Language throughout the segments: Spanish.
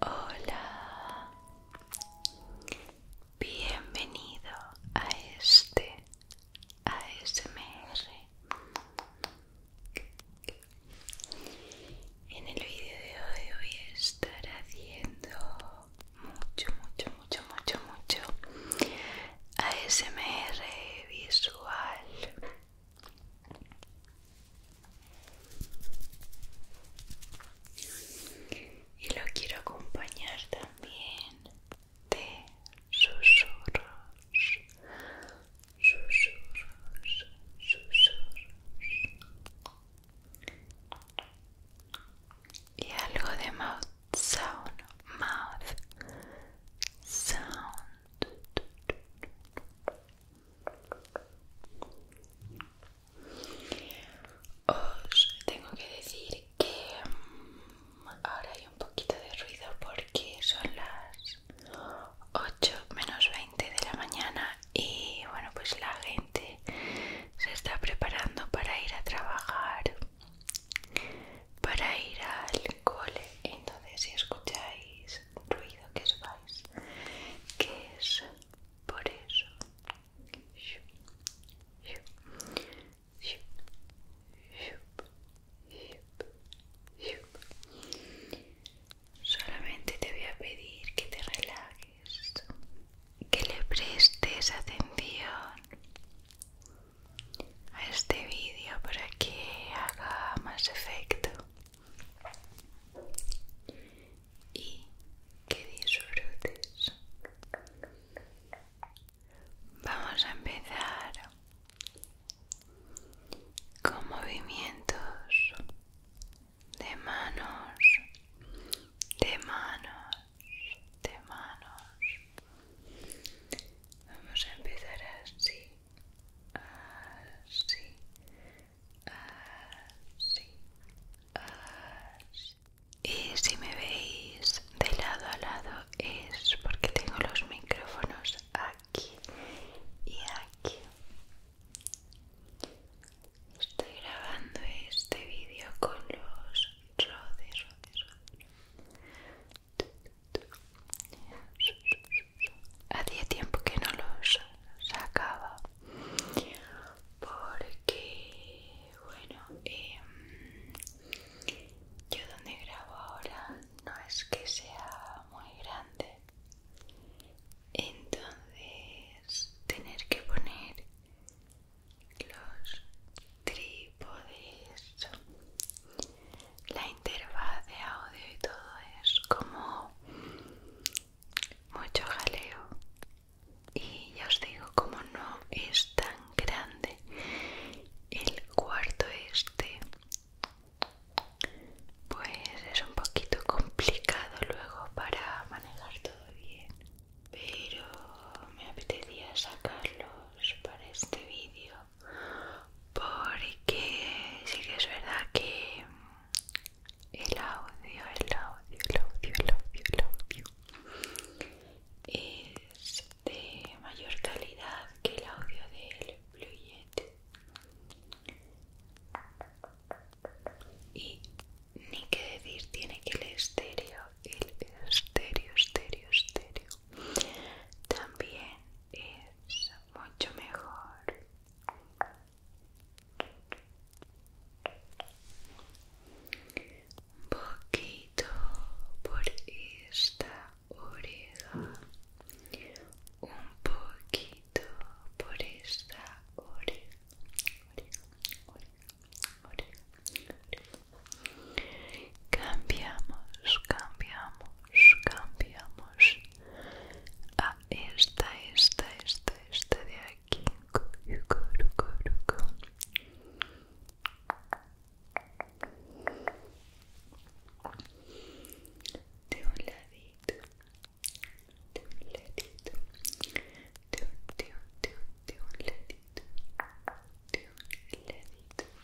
Hola, bienvenido a este ASMR. En el vídeo de hoy voy a estar haciendo mucho, mucho, mucho, mucho, mucho ASMR visual y lo quiero acompañar también de susurros susurros susurros y algo de mouth sound mouth sound os tengo que decir que mm, ahora hay un poquito de ruido porque son las 8 menos 20 de la mañana y bueno pues la gente se está preparando para ir a trabajar para ir al cole. Entonces, si escucháis ruido, que vais, que es por eso. Solamente te voy a pedir que te relajes, que le prestes atención a este vídeo para que haga más efecto y que disfrutes. Vamos a empezar con movimientos de manos, de manos, de manos. Vamos a empezar así así, así, Y si me veis de lado a lado es porque tengo los micrófonos aquí y aquí. Estoy grabando este vídeo con los rodes Hacía tiempo que no los sacaba porque, bueno, em, yo donde grabo ahora no es que sea muy grande, entonces tener que poner los trípodes la interfaz de audio y todo es como mucho jaleo y ya os digo como no es tan grande el cuarto este pues es un poquito complicado luego para manejar todo bien pero me apetecía sacarlos para este vídeo porque sí que es verdad que el audio, el audio, el audio, el audio, el audio es de mayor calidad que el audio del Blue Yeti y ni que decir tiene que el estéreo el estéreo estéreo estéreo también es mucho mejor. Un poquito por esta oreja. Un poquito por esta oreja. Cambiamos, cambiamos, cambiamos a ah, esta, esta, esta, esta de aquí. De un ladito, de un ladito, de un, de un, de un, de un ladito, de un ladito.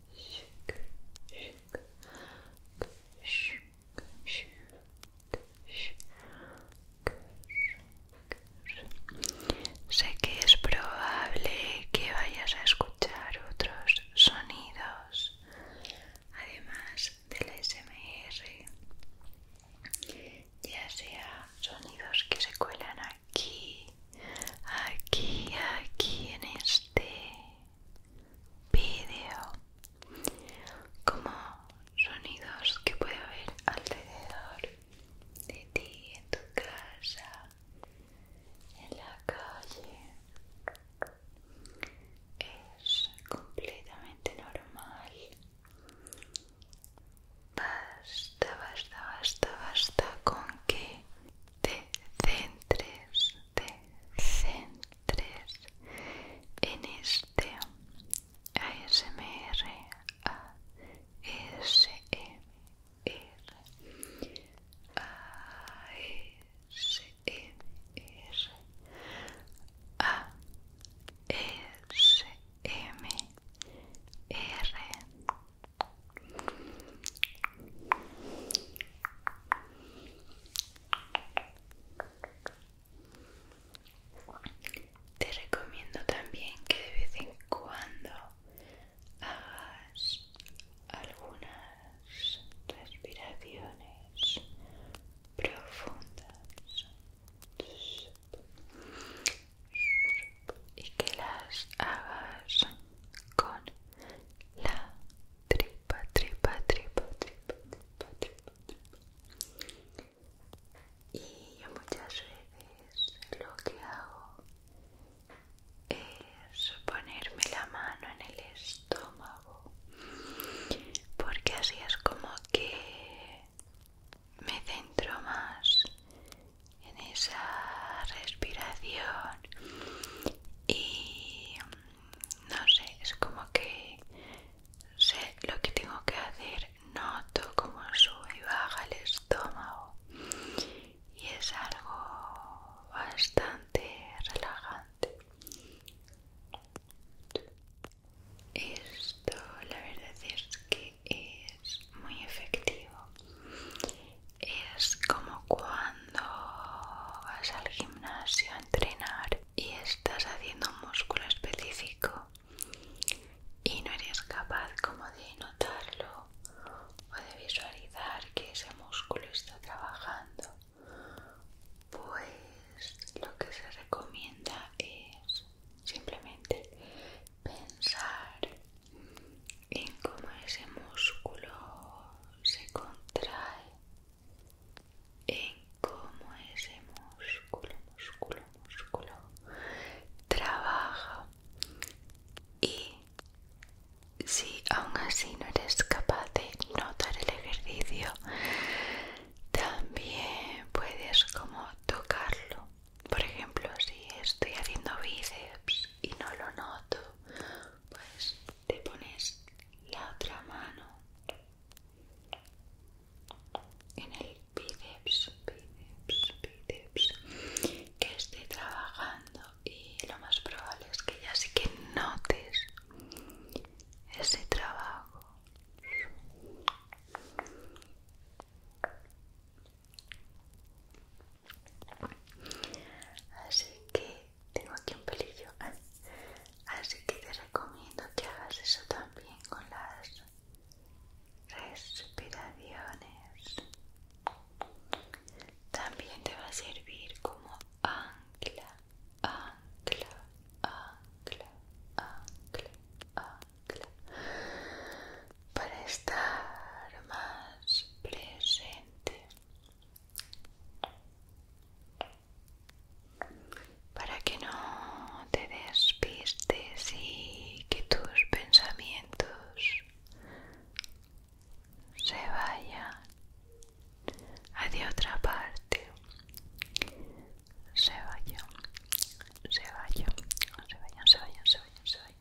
Sé que es probable que vayas a escuchar otros sonidos, además del SMR, ya sea sonidos que se cuelan aquí, aquí, aquí en este vídeo como sonidos que puede haber alrededor de ti, en tu casa, en la calle. Es completamente normal. Basta, basta, basta, basta con que de centres, de centres en este ASMR, ASMR, ASMR, ASMR. Te recomiendo también que de vez en cuando hagas algunas respiraciones profundas y que las hagas con la tripa, tripa, tripa, tripa, tripa, tripa, Y yo muchas veces lo que hago es ponerme la mano en el estómago, porque así es como que me centro más en esa respiración y mm, no sé, es como que sé lo que tengo que hacer, noto como sube y baja el estómago y es algo bastante relajante. Esto la verdad es que es muy efectivo es como cuando vas al gimnasio a entrenar y estás haciendo un músculo específico y no eres capaz como de notarlo o de visualizar que ese músculo está trabajando pues lo que se recomienda es simplemente pensar en cómo ese músculo se contrae, en cómo ese músculo, músculo, músculo trabaja y si aún así no eres capaz de notar el ejercicio, también puedes como tocarlo. Por ejemplo, si estoy haciendo bíceps y no lo noto, pues te pones la otra mano en el bíceps, que esté trabajando y lo más probable es que ya sí que notes ese trabajo Así que tengo aquí un pelillo. Así que te recomiendo que hagas eso también con las respiraciones. También te va a servir como ancla, ancla, ancla, ancla, ancla, para estar más presente para que no te despistes y que tus pensamientos se vayan hacia otra parte se vayan se vayan se vayan se vayan se vayan se vayan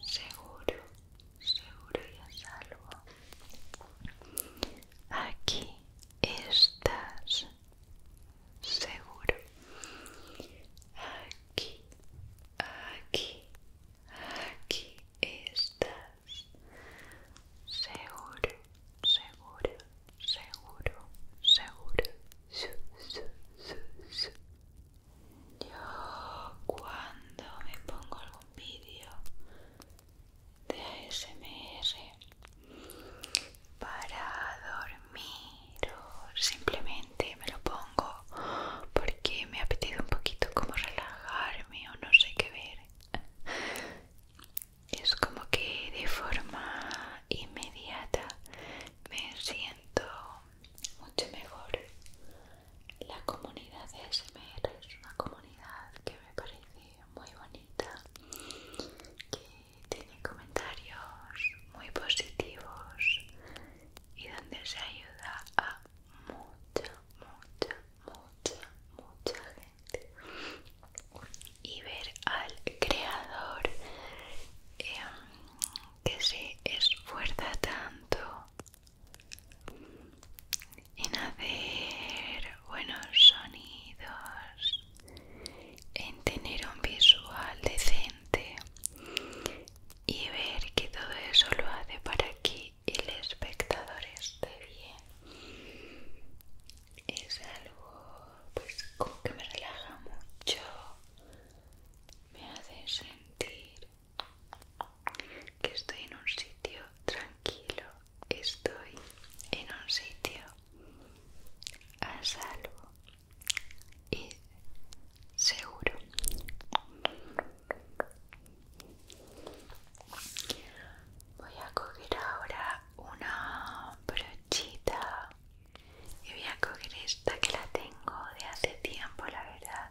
seguro, seguro y a salvo. Aquí estás seguro. Aquí, aquí, aquí estás seguro, seguro, seguro, seguro. Yo cuando me pongo algún vídeo de ASMR para dormir o simplemente me lo pongo porque me ha pedido un poquito como relajarme o no sé qué ver es como que de forma inmediata me siento mucho mejor la comunidad de SMR es una comunidad que me parece muy bonita, que tiene comentarios muy positivos y donde se ayuda a mucha, mucha, mucha, mucha gente. Y ver al creador em, que se esfuerza tanto en hacer buenos sonidos, en tener un visual decente y ver que todo eso lo hace para que el espectador esté bien. Es algo pues que me relaja mucho, me hace sentir que estoy en un sitio tranquilo, estoy en un sitio a salvo y seguro. Voy a coger ahora una brochita y voy a coger esta que la tengo de hace tiempo, la verdad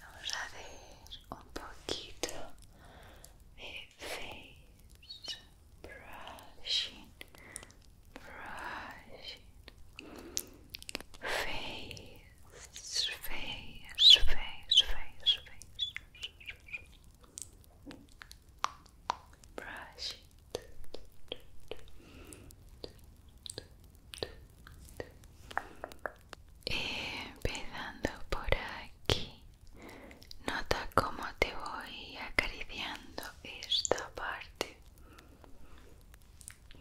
Vamos a hacer un poquito de face brushing, brushing, face, face, face, face, face brush empezando por aquí nota cómo te voy acariciando esta parte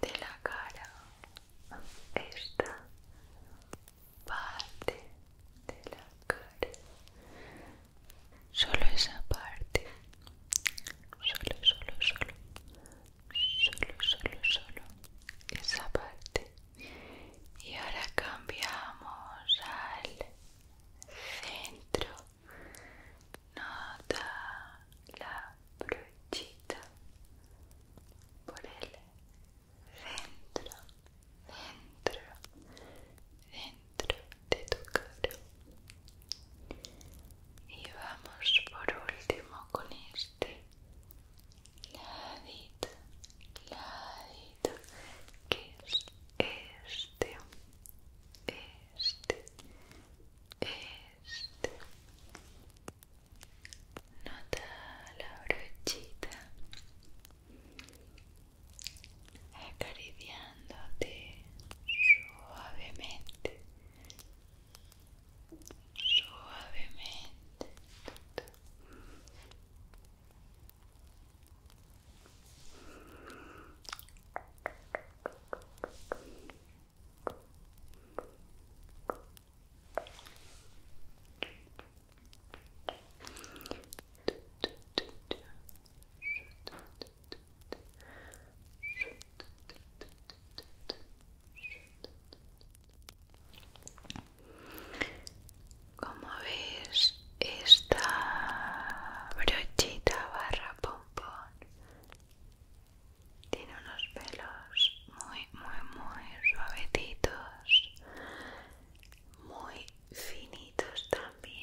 de la cara esta parte de la cara solo esa parte solo solo solo solo solo solo esa parte y ahora cambiamos al centro nota la brochita por el centro centro dentro de tu cara y vamos por último con este ladito ladito que es este este este nota la brochita acariciándote suavemente suavemente como ves, esta brochita barra pompón tiene unos pelos muy, muy, muy suavecitos, muy finitos también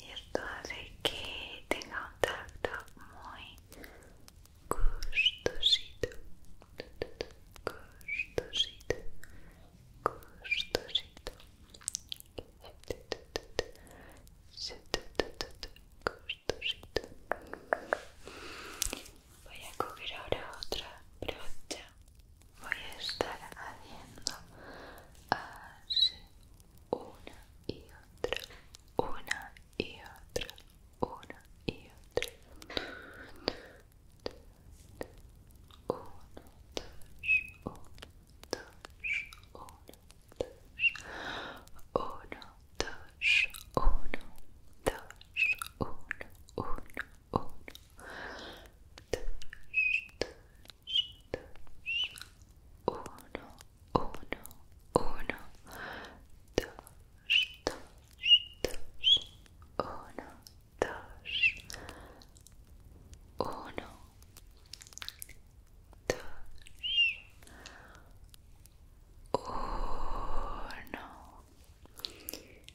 y esto hace que tenga un tacto muy gustosito gustosito gustosito gustosito voy a cubrir ahora otra brocha voy a estar haciendo así una y otra una y otra una y otra uno dos uno dos uno dos uno dos dos, oh uno, dos, oh uno, uno, oh uno, dos, dos, dos, uno, uno, uno, dos, dos, dos, uno, dos, uno, dos. Uno,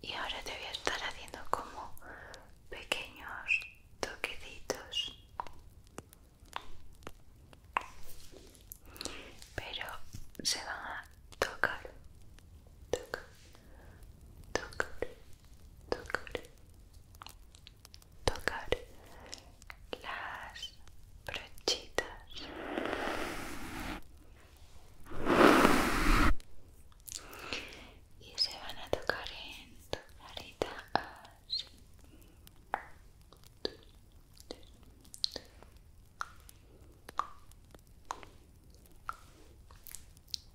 Y ahora te voy a estar haciendo como pequeños toquecitos. Pero se van a tocar, tocar, tocar, tocar, tocar las brochitas y se van a tocar en tu carita así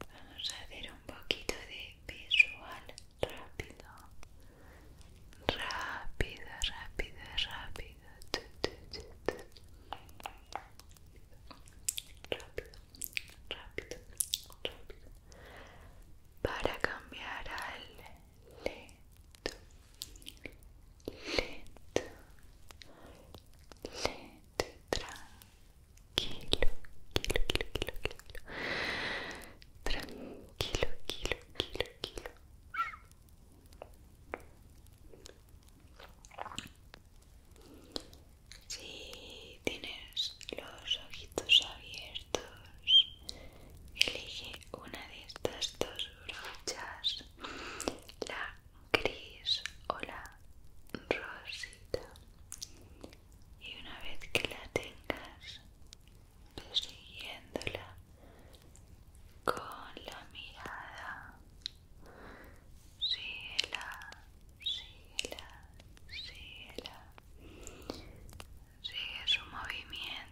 Vamos a hacer un poquito de visual rápido. Rápido, rápido, rápido. Rápido, rápido, Para cambiar al lento. Lento. Lento. Tranquilo, kilo, kilo, kilo, kilo. Tranquilo, kilo, kilo, quilo. Si tienes los ojitos abiertos, elige una de estas dos brochas, la gris o la rosita y una vez que la tengas, persiguiéndola con la mirada. la, síguela, síguela. Sigue su movimiento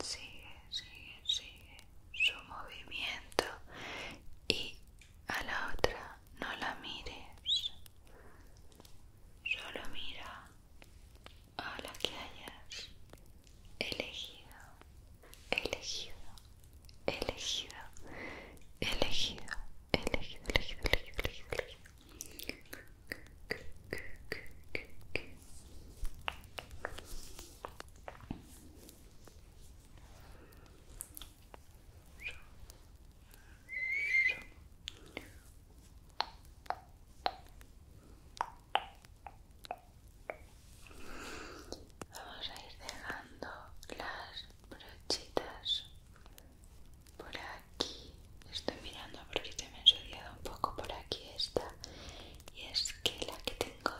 sigue, sigue, sigue su movimiento y a la otra no la mires, solo mira a la que hayas elegido, elegido, elegido, elegido, elegido, elegido, elegido, elegido, elegido. Vamos a ir dejando las brochitas por aquí. Estoy mirando porque se me ha ensuciado un poco por aquí esta y es que la que tengo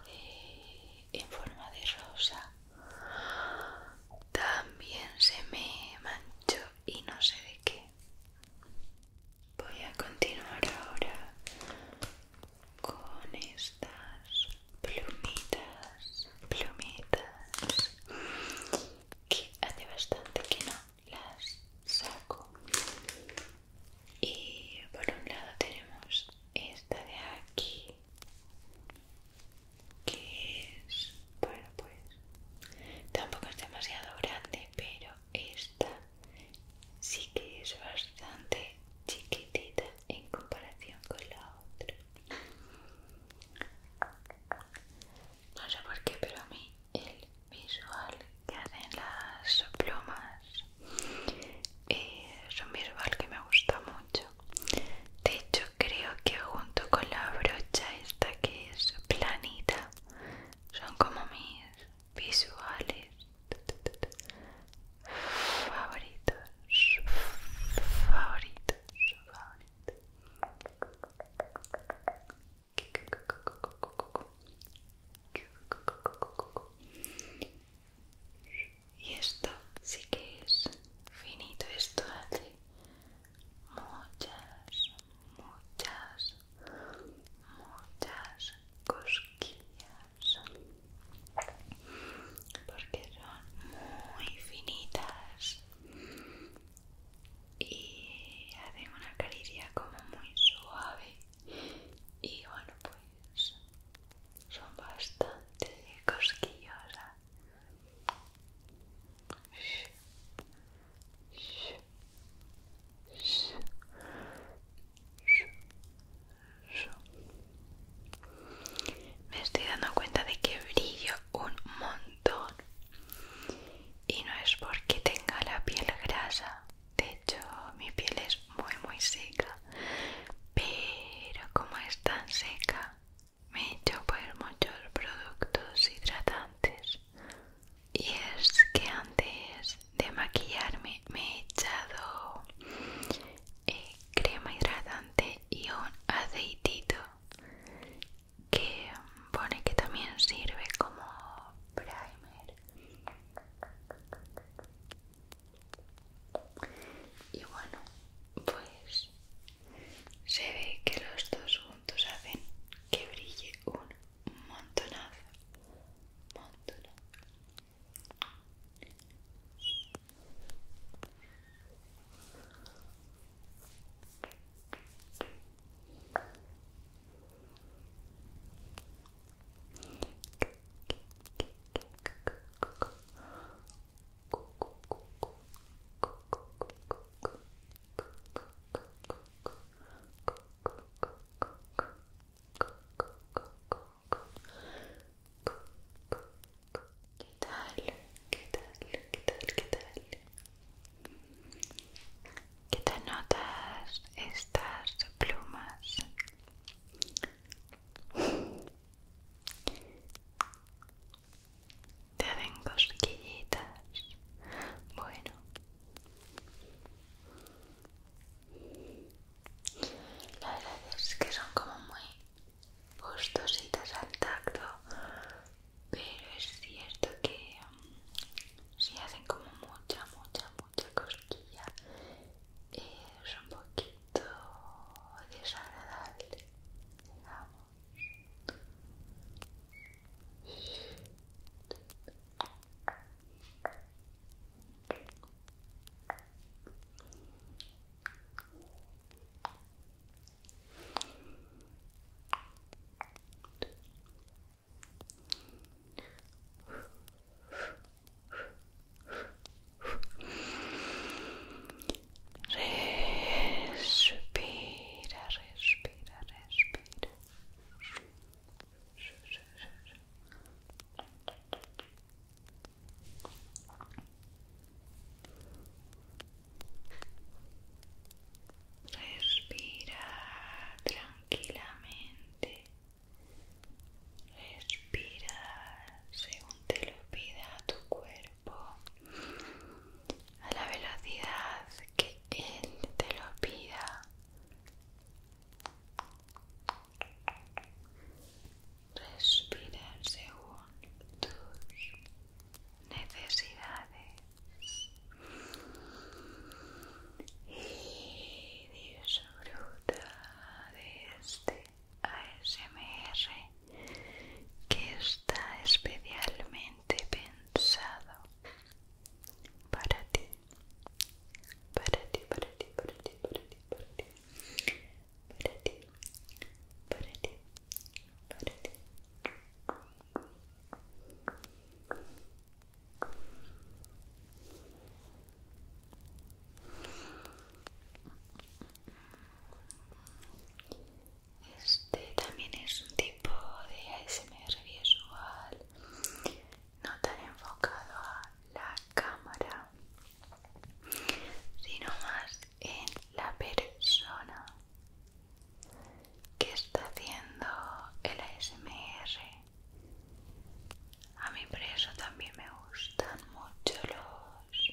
en forma de rosa también se me manchó y no sé de qué voy a continuar ahora con estas plumitas plumitas que hace bastante que no las saco y por un lado tenemos esta de aquí que es bueno pues tampoco es demasiado grande pero esta sí que es bastante chiquitita en comparación con la otra no sé por qué pero a mí el visual que hacen las plumas y es un visual que me gusta mucho de hecho creo que junto con la brocha esta que es planita son como mis visuales favoritos favoritos favoritos y esto sí que es finito, esto hace muchas, muchas, muchas cosquillas porque son muy finitas y hacen una caricia como muy suave y bueno pues son bastante cosquillosas ¿eh? me estoy dando cuenta de que brillo un montón y no es porque tenga la piel grasa de hecho mi piel es muy muy seca pero como es tan seca me he hecho poner pues muchos productos hidratantes y es que antes de maquillarme me he echado eh, crema hidratante y un aceitito que pone que también sirve como primer y bueno, pues se ve que los dos juntos hacen que brille un montonazo. Montonazo. ¿Qué tal? ¿Qué tal? ¿Qué tal? ¿Qué tal? ¿Qué te notas estas plumas te hacen cosquillitas bueno la verdad es que son como muy gustositas al tacto pero es cierto que si hacen como mucha, mucha, mucha cosquilla es un poquito desagradable Respira, respira, respira. Respira tranquilamente. Respira según te lo pida tu cuerpo a la velocidad que él te lo pida. Respira según tus necesidades disfruta de este ASMR que está especialmente pensado para ti, para ti, para ti, para ti, para ti, para ti, para ti. Para ti. Este también es un tipo de ASMR visual, no tan enfocado a la cámara, sino más en la persona que está haciendo el ASMR a mí por eso también me gustan mucho los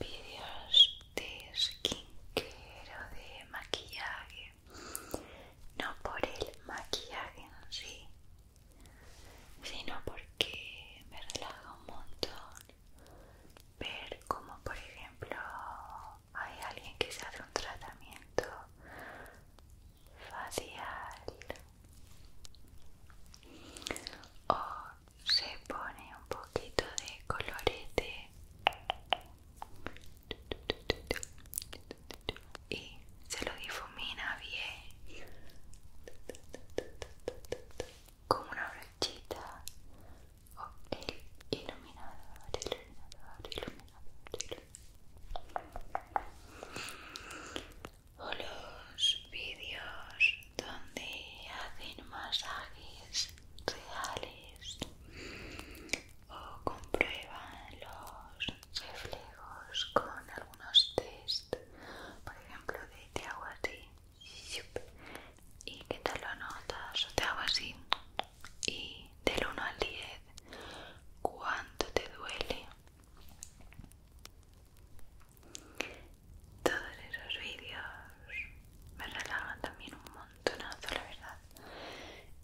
vídeos de skincare o de maquillaje. No por el maquillaje en sí, sino porque me relaja un montón ver como por ejemplo hay alguien que se hace un tratamiento facial o se pone un poquito de colorete y se lo difumina bien Como una brochita o el iluminador o los vídeos donde hacen masajes reales o comprueban los reflejos con algunos test por ejemplo de te hago así y qué tal lo notas o te hago así y del 1 al 10 cuánto te duele todos esos vídeos me relajan también un montonazo, la verdad.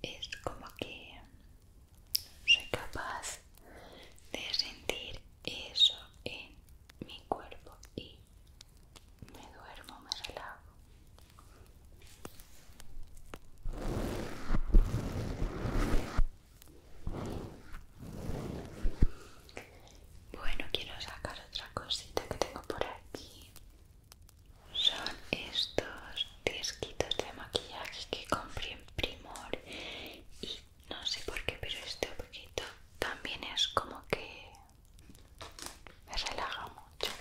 Es como que soy capaz de sentir eso en mi cuerpo y me duermo, me relajo. Bueno, quiero sacar otra cosita que tengo por aquí. Son estos disquitos de maquillaje que compré en Primor. Y no sé por qué, pero este poquito también es como que me relaja mucho.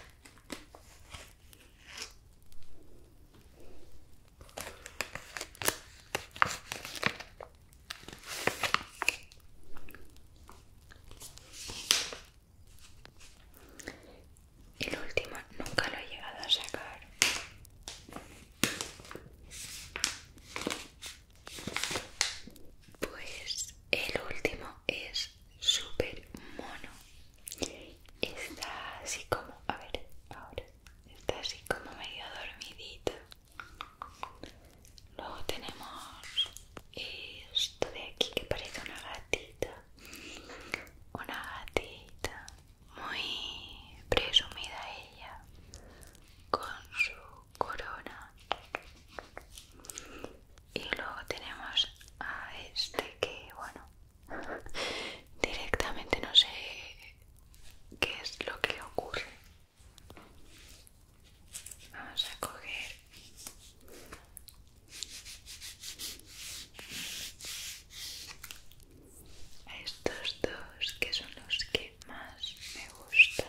El último nunca lo he llegado a sacar. Pues el último es súper mono. Está así como, a ver, ahora está así como medio dormidito. Luego tenemos esto de aquí que parece una gatita. Una gatita muy presumida ella con su corona. Y luego tenemos a este que, bueno, Directamente no sé qué es lo que ocurre. Vamos a coger a estos dos que son los que más me gustan.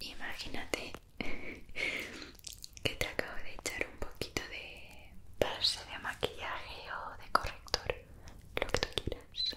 Imagínate que te acabo de echar un poquito de base de maquillaje o de corrector, lo que tú quieras.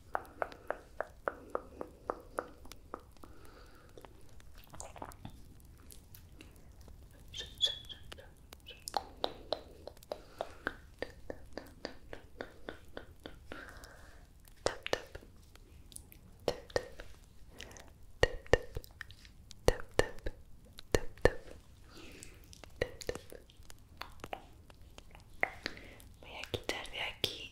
Voy a quitar de aquí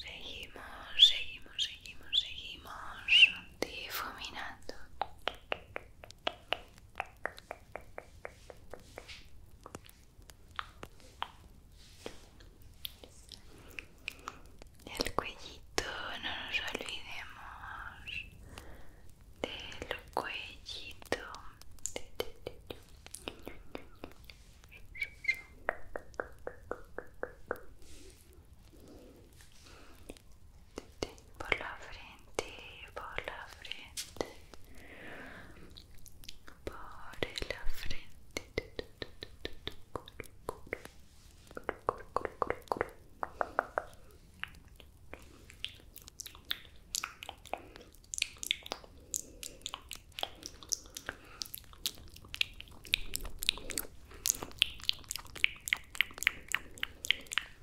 Seguimos, seguimos, seguimos, seguimos difuminando. El cuellito, no nos olvidemos del cuellito por la frente, por la frente, por la frente.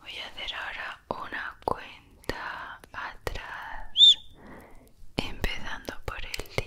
Voy a hacer ahora una cuenta atrás, empezando por el 10.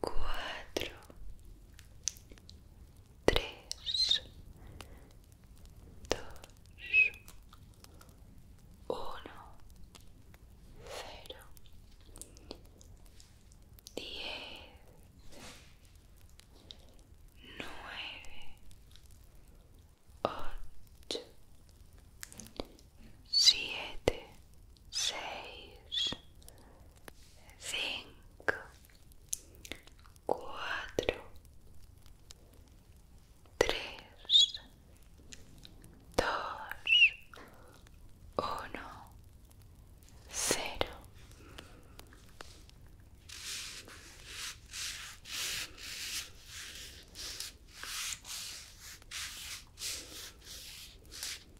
cuatro, tres, dos, uno, cero, diez, nueve, ocho, siete, seis, cinco, cuatro, tres, dos, uno, cero.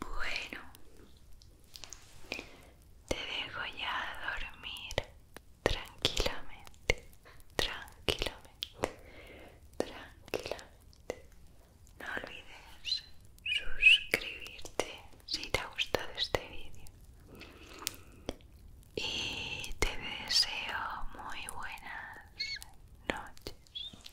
Bueno, te dejo ya a dormir tranquilamente, tranquilamente, tranquilamente. No olvides suscribirte si te ha gustado este vídeo y te deseo muy buenas noches.